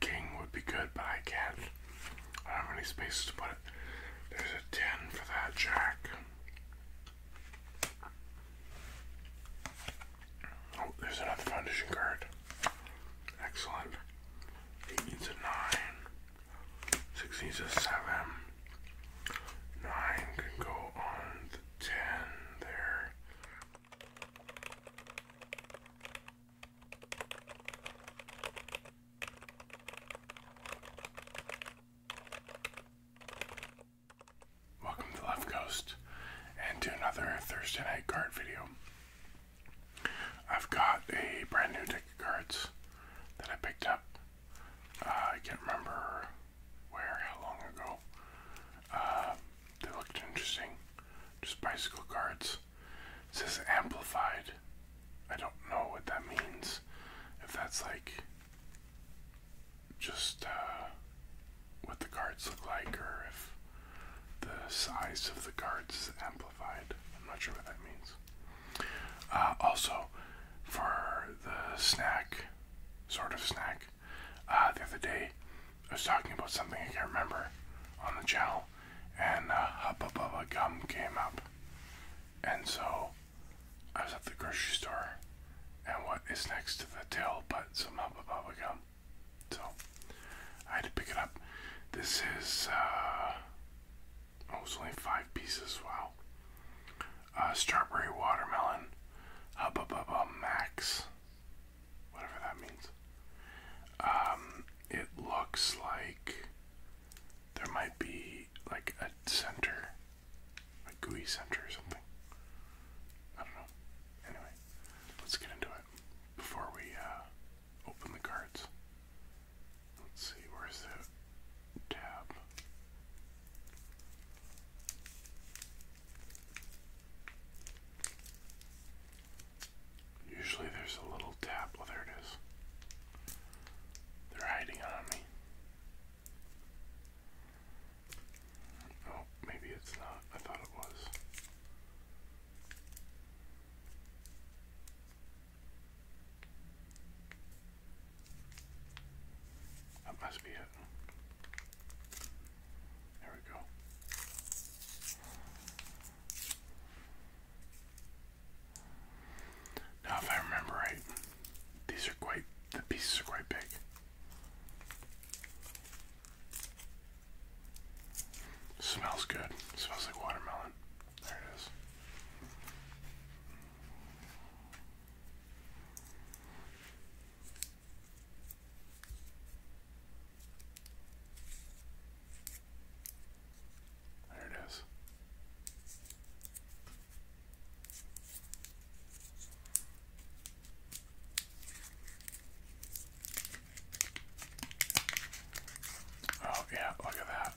King would be good, but I can't. I don't have any spaces to put it. There's a 10 for that jack. Oh, there's another foundation card. Excellent. He needs a 9. 6 needs a 7. 9 can go on the 10 there. Welcome to Left Coast and to another Thursday night card video. I've got a brand new deck of cards that I picked up. Uh, I can't remember where, how long ago. Uh, they looked interesting. Just bicycle cards. It says amplified. I don't know what that means. If that's like just uh, what the cards look like, or if the size of the cards is amplified. I'm not sure what that means. Uh, also, for the snack, sort of snack, uh, the other day I was talking about something I can't remember on the channel, and uh, Hubba Gum came up. And so I was at the grocery store, and what is next to the till but some Hubba Bubba Gum? So I had to pick it up. This is, uh, oh, only five pieces, wow. Uh, strawberry watermelon, Hubba Bubba Max whatever that means. Um, it looks like there might be like a center, a GUI center or something. I don't know. Anyway, let's get into it before we uh, open the cards. Let's see, where's the tab? Usually there's a little tap. Oh, there it is. They're hiding on me. Oh, maybe it's not. I thought it was. That must be it. There we go. Now, if I remember right, these are quite, the pieces are quite big. Smells good. Smells like watermelon. There it is. There it is. Oh, yeah, look at that.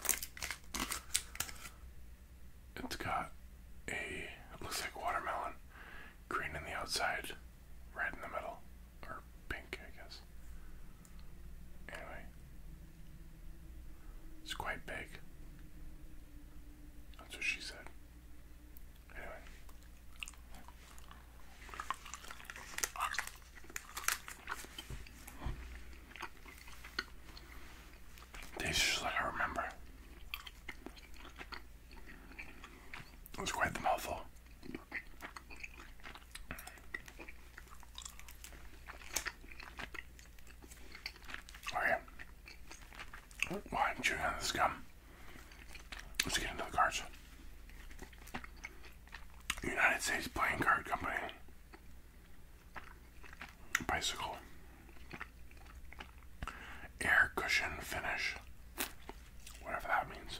It's got a, it looks like watermelon, green on the outside, Red in the middle, or pink, I guess. Anyway, it's quite big. That's what she said. Anyway. Tastes I remember. That was quite the mouthful. Okay. While am chewing on this gum, let's get into the cards. United States Playing Card Company. Bicycle. Air cushion finish. Whatever that means.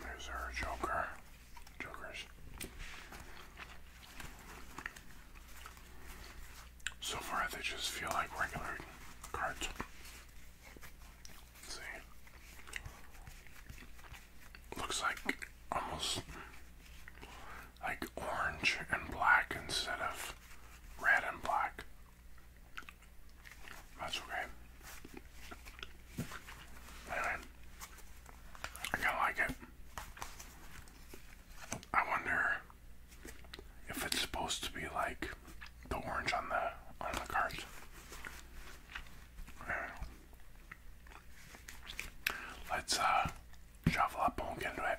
There's our joker. Jokers. So far they just feel like regular cards. see. Looks like almost like orange and black instead of red and black. That's okay. I kinda like it. I wonder if it's supposed to be like the orange on the on the cards. Let's uh up and get into it.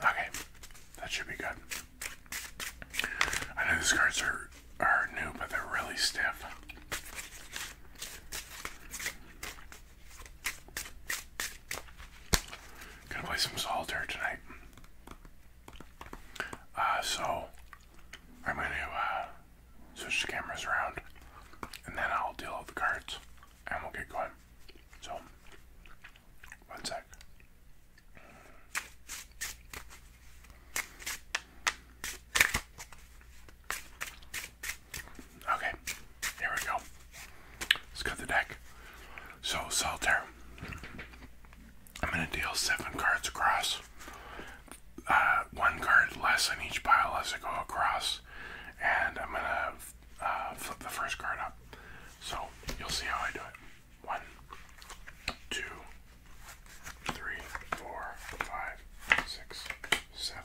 Okay, that should be good. I know these cards are, are new, but they're really stiff. Gonna play some solitaire tonight. Uh, so I'm gonna uh, switch the cameras around, and then I'll deal with the cards, and we'll get going. So, one sec. Okay, here we go. Let's cut the deck. So, Solitaire, I'm going to deal seven cards across. Uh, one card less in each pile as I go across. And I'm going to uh, flip the first card up. So, you'll see how I do it. One, two, three, four, five, six, seven.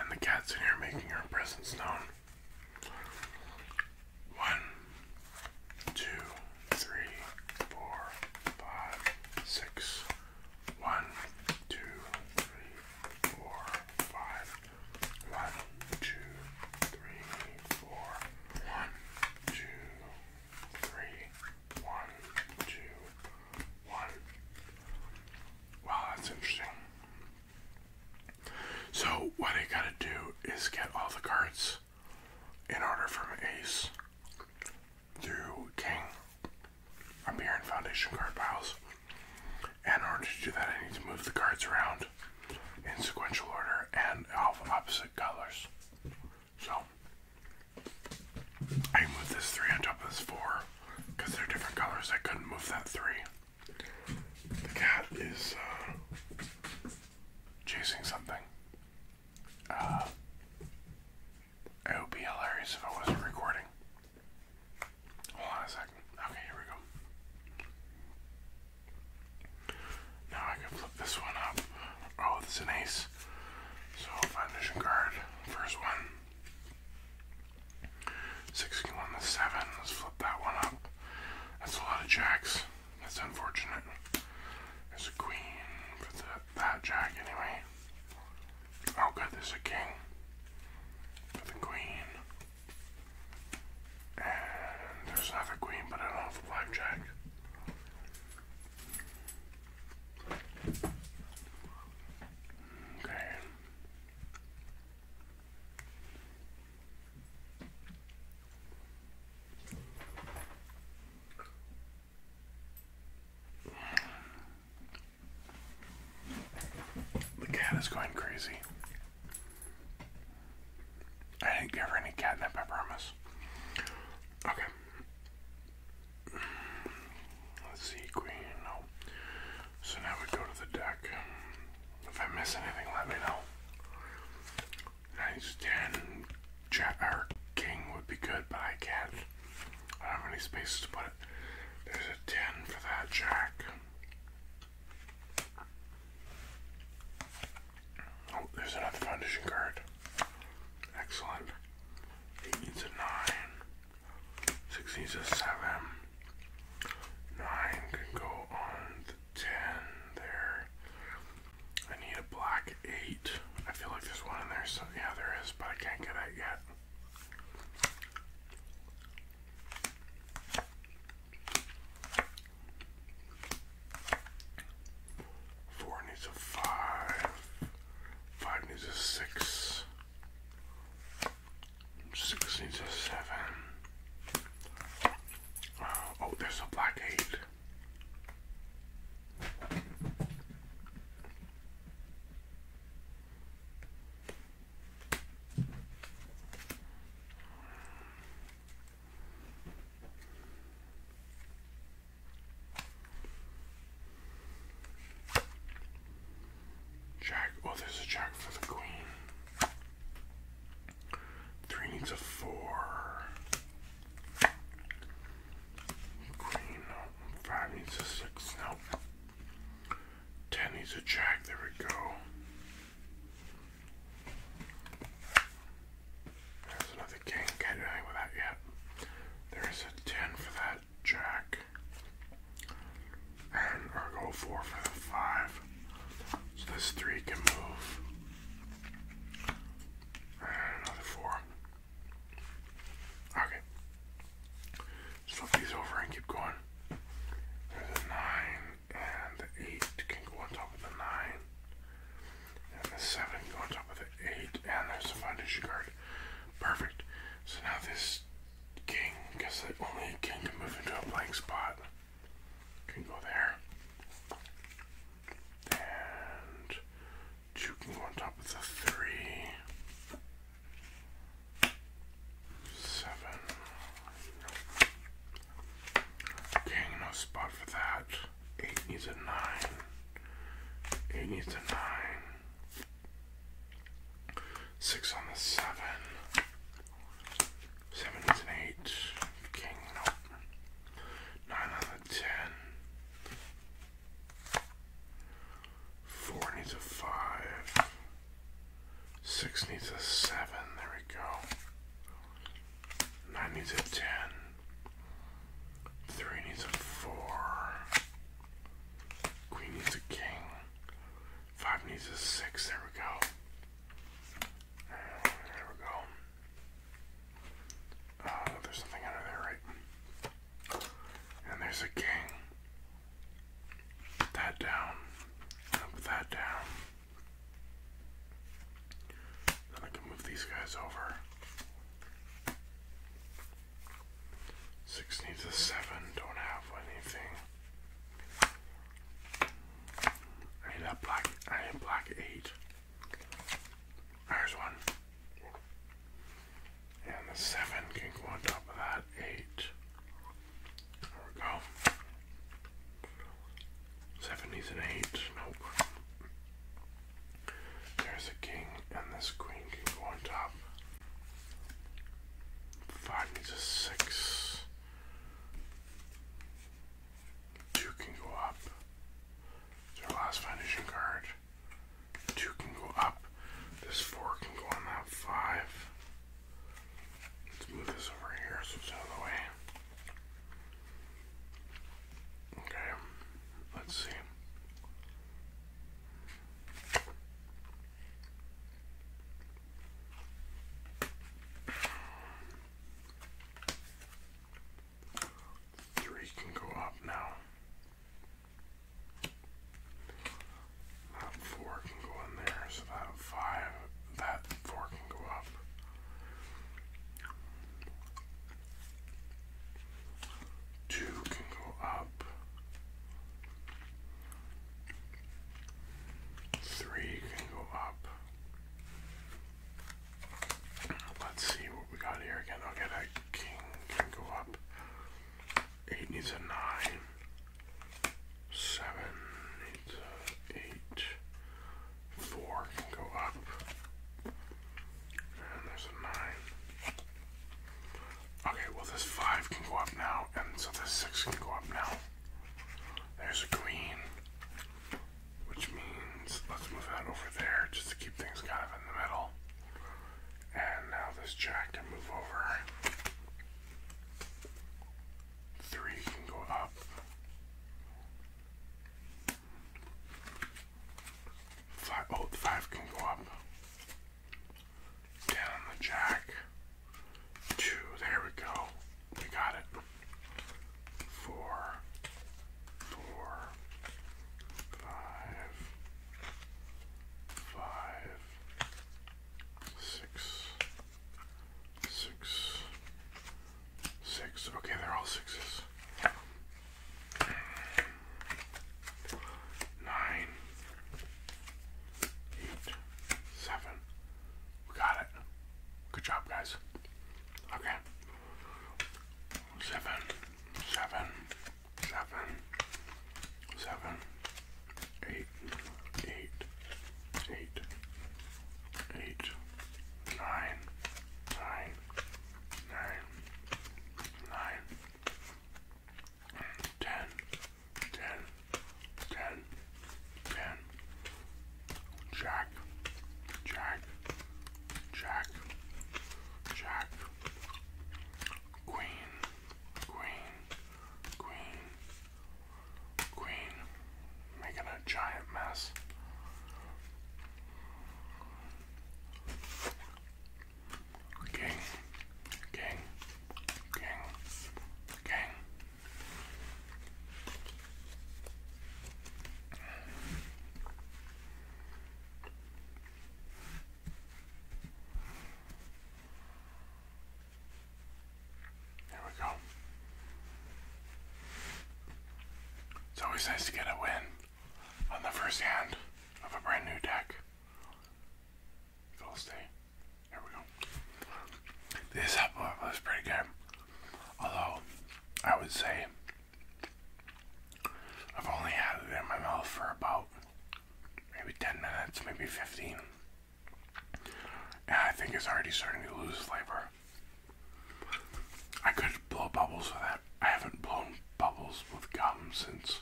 And the cat's in here making her presence known. One, two, three, four, five, six. One, two, three, four, five. Wow, that's interesting. So, what I gotta do is get all the cards in order from ace through king I'm here in foundation card piles. And in order to do that, I need to move the cards around in sequential order and of opposite colors. So, I moved this 3 on top of this 4 because they're different colors. I couldn't move that 3. The cat is uh, chasing something. Uh, it would be hilarious if I wasn't recording. Hold on a second. Okay, here we go. Now I can flip this one up. Oh, it's an ace. So, foundation card, first one. Six can the seven. Let's flip that one up. That's a lot of jacks. That's unfortunate. There's a queen for that jack anyway. Oh good, there's a king with queen. And there's another queen, but I don't have a Okay. The cat is going crazy. I didn't give her any catnip, I promise. Okay. Let's see, Queen. No. So now we go to the deck. If I miss anything, let me know. Nice 10. Jet or King would be good, but I can't. I don't have any spaces to put it. There's a 10 for that jack. Oh, there's another foundation card. Excellent. 8 needs a 9. 6 needs a 7. 9 can go on 10 there. I need a black 8. I feel like there's one in there. So yeah, there is, but I can't get it yet. Four needs a five. Five needs a six. Six needs a seven. Uh, oh, there's a black eight. Jack. Oh, there's a jack for the queen. Three needs a four. Queen. No. Five needs a six. No. Ten needs a jack, there we go. There's another king, can't do anything with that yet. There is a ten for that jack. And or go four for the five. So this three can move. And another four. Okay. Flip these over and keep going. There's a 9 and an 8 can go on top of the 9. And the 7 can go on top of the 8. And there's a foundation card. Perfect. So now this king, because only king can move into a blank spot, can go there. And 2 can go on top of the 3. Seven. Okay, no spot for that. Eight needs a nine. Eight needs a nine. Six on the seven. Seven needs an eight. King, nope. Nine on the ten. Four needs a five. Six needs a seven. There we go. Nine needs a ten. Three needs a four. Queen needs a king. Five needs a six. There we go. There we go. Uh, there's something under there, right? And there's a king. Put that down. Put that down. Then I can move these guys over. Six needs a seven. Don't have anything. I need a black. I need a black eight. There's one. And the seven can go on top of that. Eight. There we go. Seven needs an eight. Nope. There's a king, and this queen can go on top. Five needs a six. Two can go up. It's last vanishing card. Two can go up. This four can go on that five. Let's move this over here so it's out of the way. Okay, let's see. Three can go up now. That four can go in there, so that five, that four can go up. Two can go up. Three can go up. Let's see what we got here again. Okay, that king can go up. Eight needs a nine. Seven needs a eight. Four can go up. And there's a nine. Okay, well this five can go up now, and so this six can go up now. There's a queen, Which means let's move that over there just to keep things kind of in the middle. And now this jack can move over. Three can go up. Five, oh, five can go up. Down the jack. Two, there we go. We got it. Four, four, five, five, six, six, six. Okay, they're all sixes. Nine, eight, seven. We got it. Good job, guys. Okay. Seven, seven seven, seven, eight, eight, eight, eight, nine, nine, nine, nine, ten, ten, ten, ten, jack, jack, jack, jack, queen, queen, queen, queen, making a giant mess. King, king, king, king. There we go. It's always nice to get a win on the first hand of a brand new deck. stay. Here we go. This upload uh, was pretty good. Although, I would say I've only had it in my mouth for about maybe 10 minutes, maybe 15. And I think it's already starting to lose flavor. I could blow bubbles with that. I haven't blown bubbles with gum since,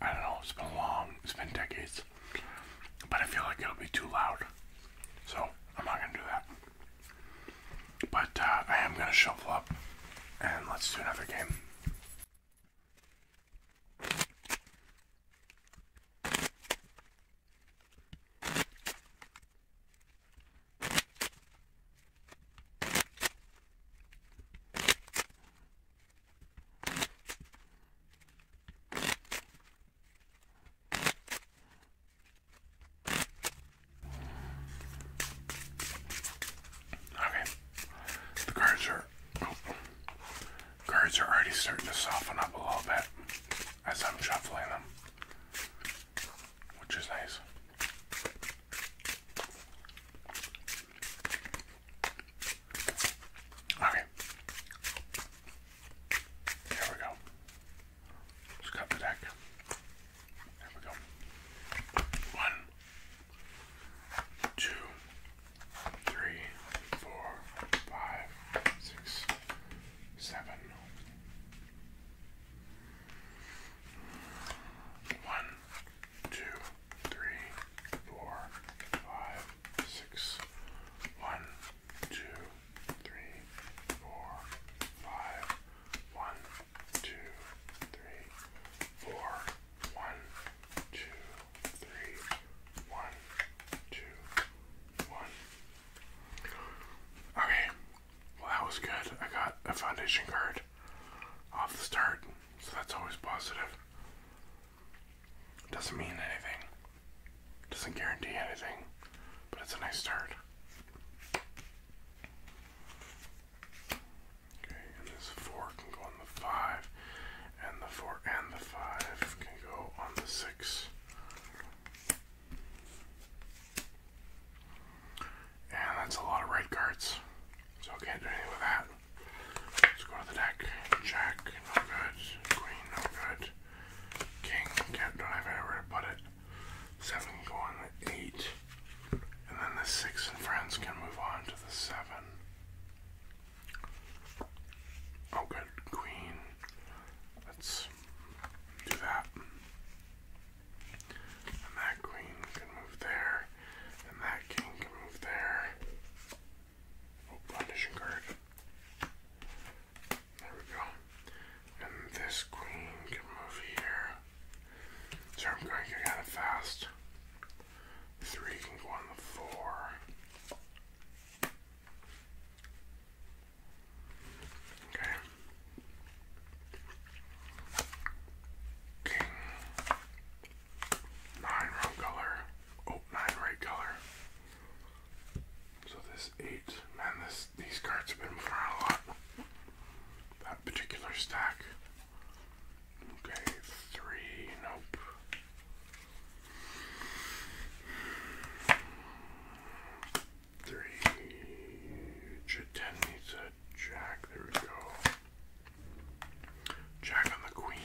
I don't know, it's been long, it's been decades. But I feel like it'll be too loud. So I'm not going to do that. But uh, I am going to shuffle up and let's do another game. Okay. The cards are oh, cards are already starting to soften up a little bit as I'm shuffling them. Which is nice. Okay. Here we go. Just cut the deck. There we go. One, two, three, four, five, six, seven. One, two, three, four, five, six. One, two, three, four, five, one, two, three, four. One, two, three, one, two, one. Okay, well that was good. I got a foundation card off the start, so that's always positive. Doesn't mean anything, doesn't guarantee anything, but it's a nice start. Okay, and this four can go on the five, and the four and the five can go on the six. And that's a lot of red cards. So I can't do anything with that. Let's go to the deck. Jack, no good. Queen, no good. King, can't, don't have anywhere put it. Seven go on the eight. And then the six and friends can move on to the seven. Oh, good queen. Let's do that. And that queen can move there. And that king can move there. Oh, Foundation card. There we go. And this queen can move here. So I'm going to get kind of fast. Three can the four. Okay. King. Nine wrong color. Oh, nine right color. So this eight. Man, this these cards have been around a lot particular stack. Okay, three, nope. Three, ten needs a jack, there we go. Jack on the queen.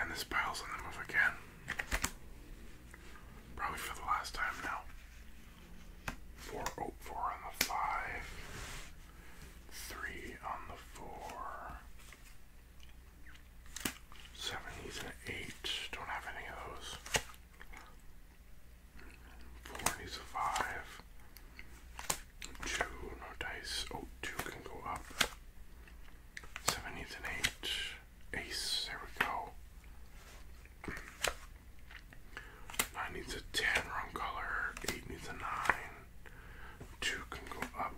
And this pile's on the move again. Probably for the last time now. Four, oh, four on the five. Three on the four. Seventies and eight. Don't have any of those. Four needs a five. Two, no dice. Oh, two can go up. Seven needs an eight. Ace, there we go. Nine needs a ten, wrong color. Eight needs a nine. Two can go up,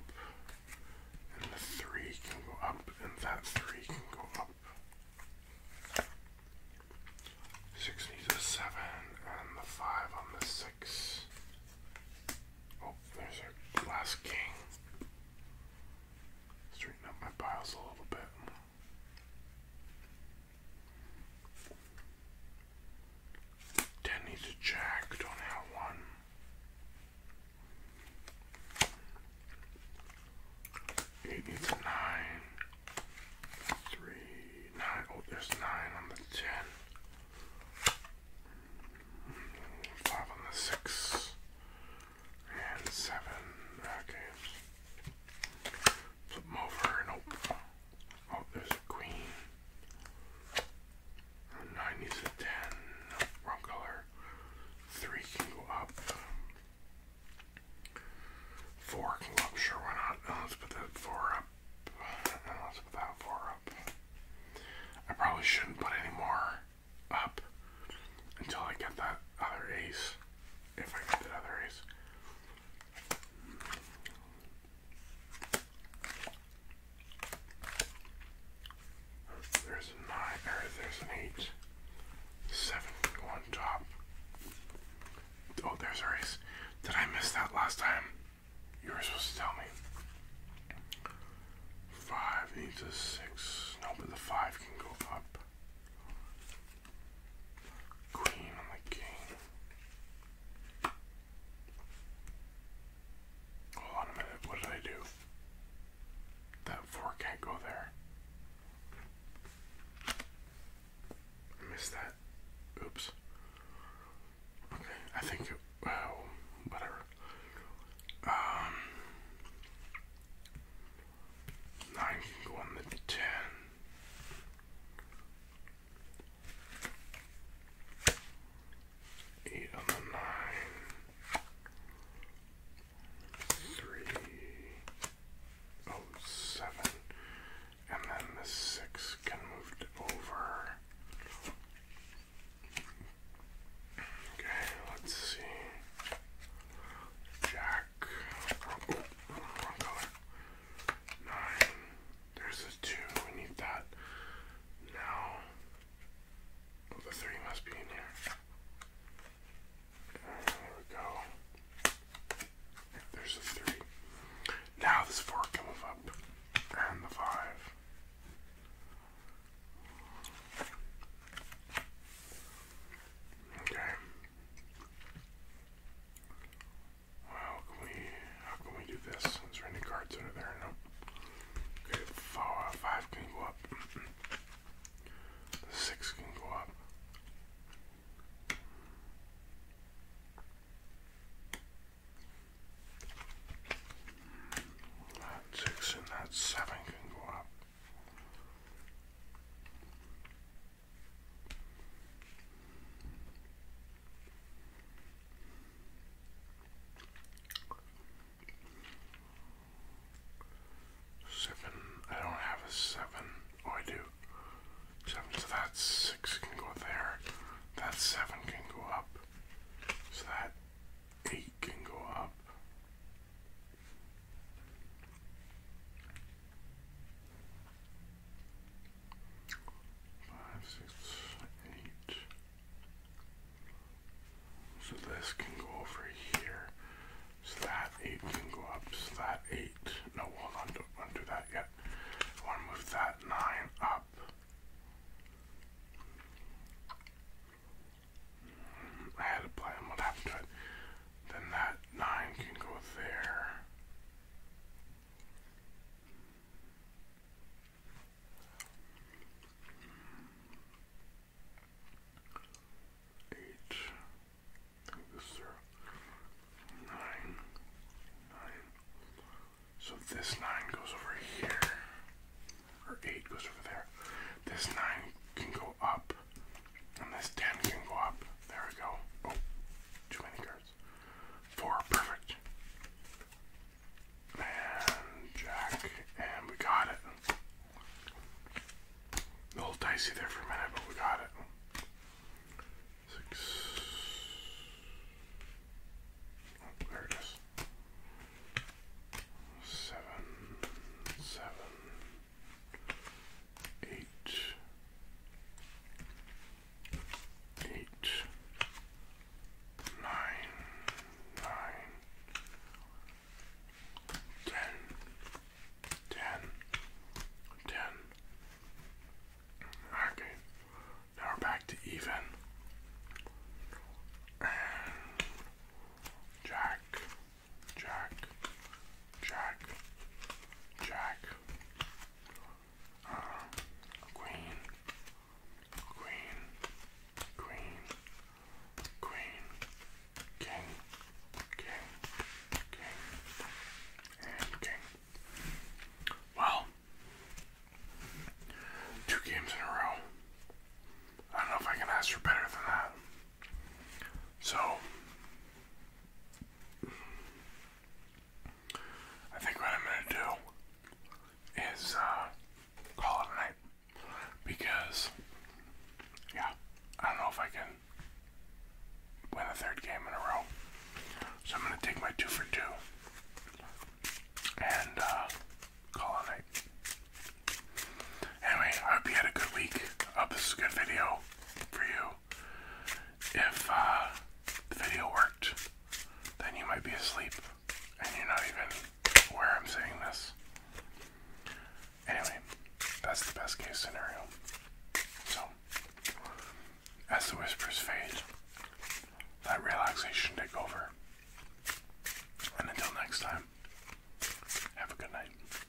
and the three can go up, and that three can go up. Six needs a seven, and the five on the six. Oh, there's our last king. Straighten up my piles a little bit. Danny's a jack, don't have one. Eight needs a nine. Three, nine. Oh, there's nine on the ten. Five on the six. And seven. Okay. Flip over and oh, oh, there's a queen. Nineties a ten. wrong color. Three can go up. Four can go up. Sure, why not? Uh, let's put that four up. Uh, let's put that four up. I probably shouldn't put any more up until I get that other ace if I get the ace. There's a nine, there's an eight. Seven one top. Oh, there's a race. Did I miss that last time? You were supposed to tell me. Five No, but the five can go up. Queen on the king. Hold on a minute, what did I do? That four can't go there. missed that. Oops. Okay, I think it, whatever. Um, Nine can go on the ten. Eight on the nine. Three. Oh, seven. And then the six can move over. Okay, let's see. Jack Nine. There's a two. We need that. Now, the three must be in here. there we go. There's a three. Now this four can move up, and the five. Okay. How how can we do this? Is there any cards under there? No. Okay, five can go up. six can go up. That six and that seven can go up. Seven. I don't have a seven. Oh, I do. Seven. So that six can go there. That seven can go up. So that eight can go up. Five, six, eight. So this can go over here. So that eight can go up. So that eight. No, hold on. Don't want that yet. I want to move that nine up. I had a plan. What happened then that 9 can go there. Eight. So this nine goes over here, or eight goes over there. This nine can go up and this 10 can go up. There we go. Oh, too many cards. Four, perfect. And Jack, and we got it. A little dicey there for a minute, but we got it. Six. Oh, there it is. Seven, seven, eight, eight, nine, nine, ten, ten, ten. Okay, now we're back to even. And Jack Jack, Jack, Jack, uh, Queen, Queen, Queen, Queen, King, King, King, and King. Well, two games in a row. I don't know if I can ask for better than that. So I think what I'm gonna do is uh, call it a night because yeah, I don't know if I can win a third game in a row. So I'm gonna take my two for two and uh, call it a night. Anyway, I hope you had a good week. I this was a good video for you. If uh, the video worked, then you might be asleep and you're not even aware I'm saying this. Anyway, that's the best case scenario. So, as the whispers fade, that relaxation take over. And until next time, have a good night.